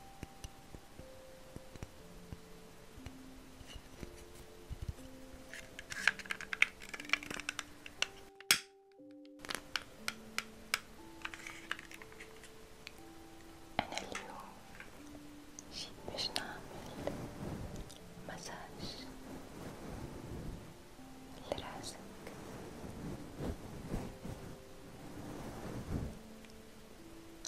أنا اليوم جيت باش نعمل مساج لراسك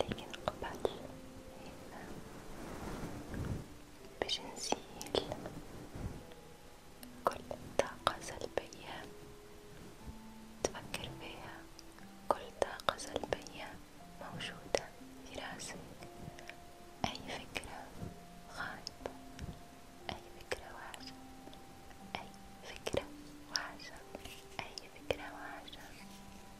لكن قبل هنا باش نزيل كل طاقة سلبية تفكر فيها كل طاقة سلبية موجودة في راسك أي فكرة غائبة أي فكرة واجهة أي فكرة واجهة أي فكرة واجهة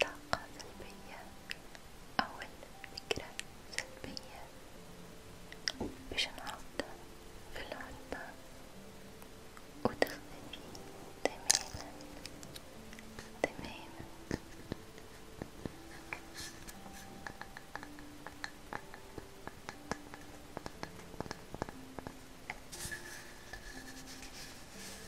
طاقة سلبية أو الفكرة سلبية باش نعوضها في العلبة وتختفي تماما تماما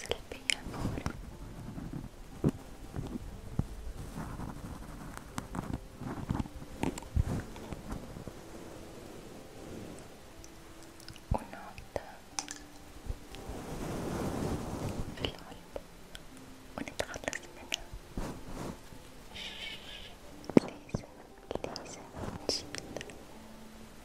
سلبية فورا ونعد في العلب ونتخلص منها ليس ليس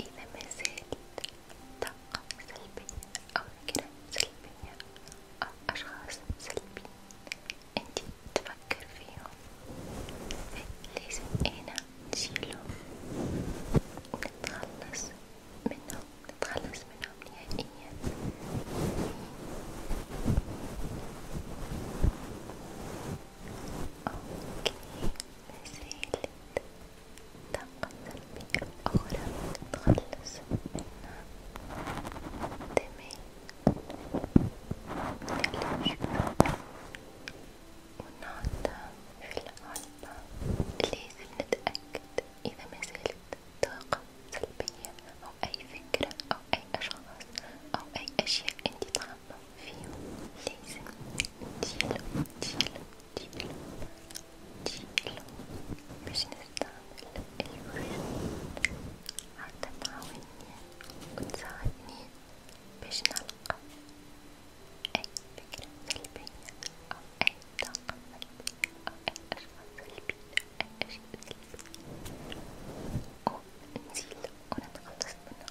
إذا ما زالت طاقة سلبية أو فكرة سلبية أو أشخاص سلبيين أنت تفكر فيهم فلازم أنا نشيلهم ونتخلص منهم نتخلص منهم نهائيا أوكي لازالت طاقة سلبية أخرى نتخلص منها تمام نقلب ونحطها في العلبة لازم نتأكد إذا ما زالت طاقة سلبية أو أي فكرة أو أي أشخاص أو أي أشياء أنت الصعب فيهم لازم تشيله تشيله تشيله تشيله باش نستعمل الوريد حتى تعاوني وتساعدني باش نلقى أي فكرة سلبية أو أي طاقة سلبية أو أي أشخاص سلبية أو أي أشياء سلبية ونزيل ونتخلص منها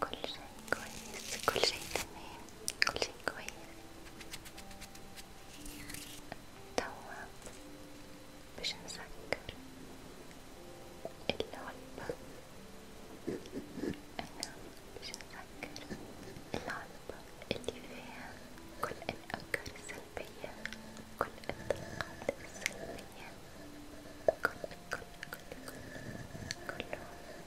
كل شيء كويس كل شيء تمام كل شيء كويس توا باش نسكر العلبة أنا باش نسكر العلبة اللي فيها كل الأفكار السلبية كل الطاقات السلبية كل كل كل كل كلهم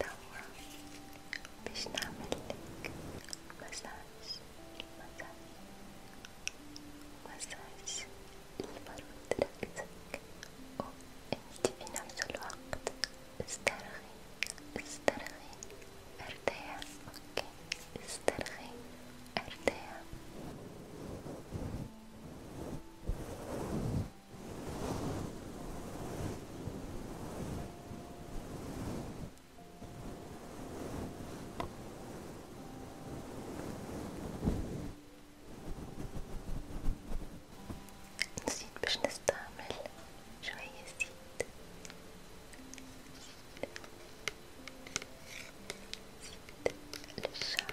توا باش نعملك مساج مساج مساج لفرد ركزك وانت في نفس الوقت استرخي استرخي ارتاح اوكي استرخي ارتاح نسيت باش نستعمل شوية زيت زيت للشعر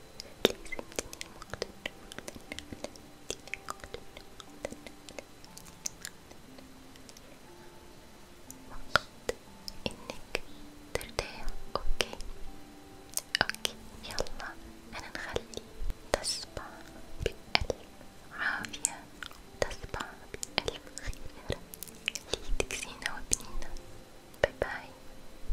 وقت انك ترتاح اوكي اوكي يلا انا نخلي تصبح بألف عافية تصبح بألف خير ليك زينة وبنينة باي باي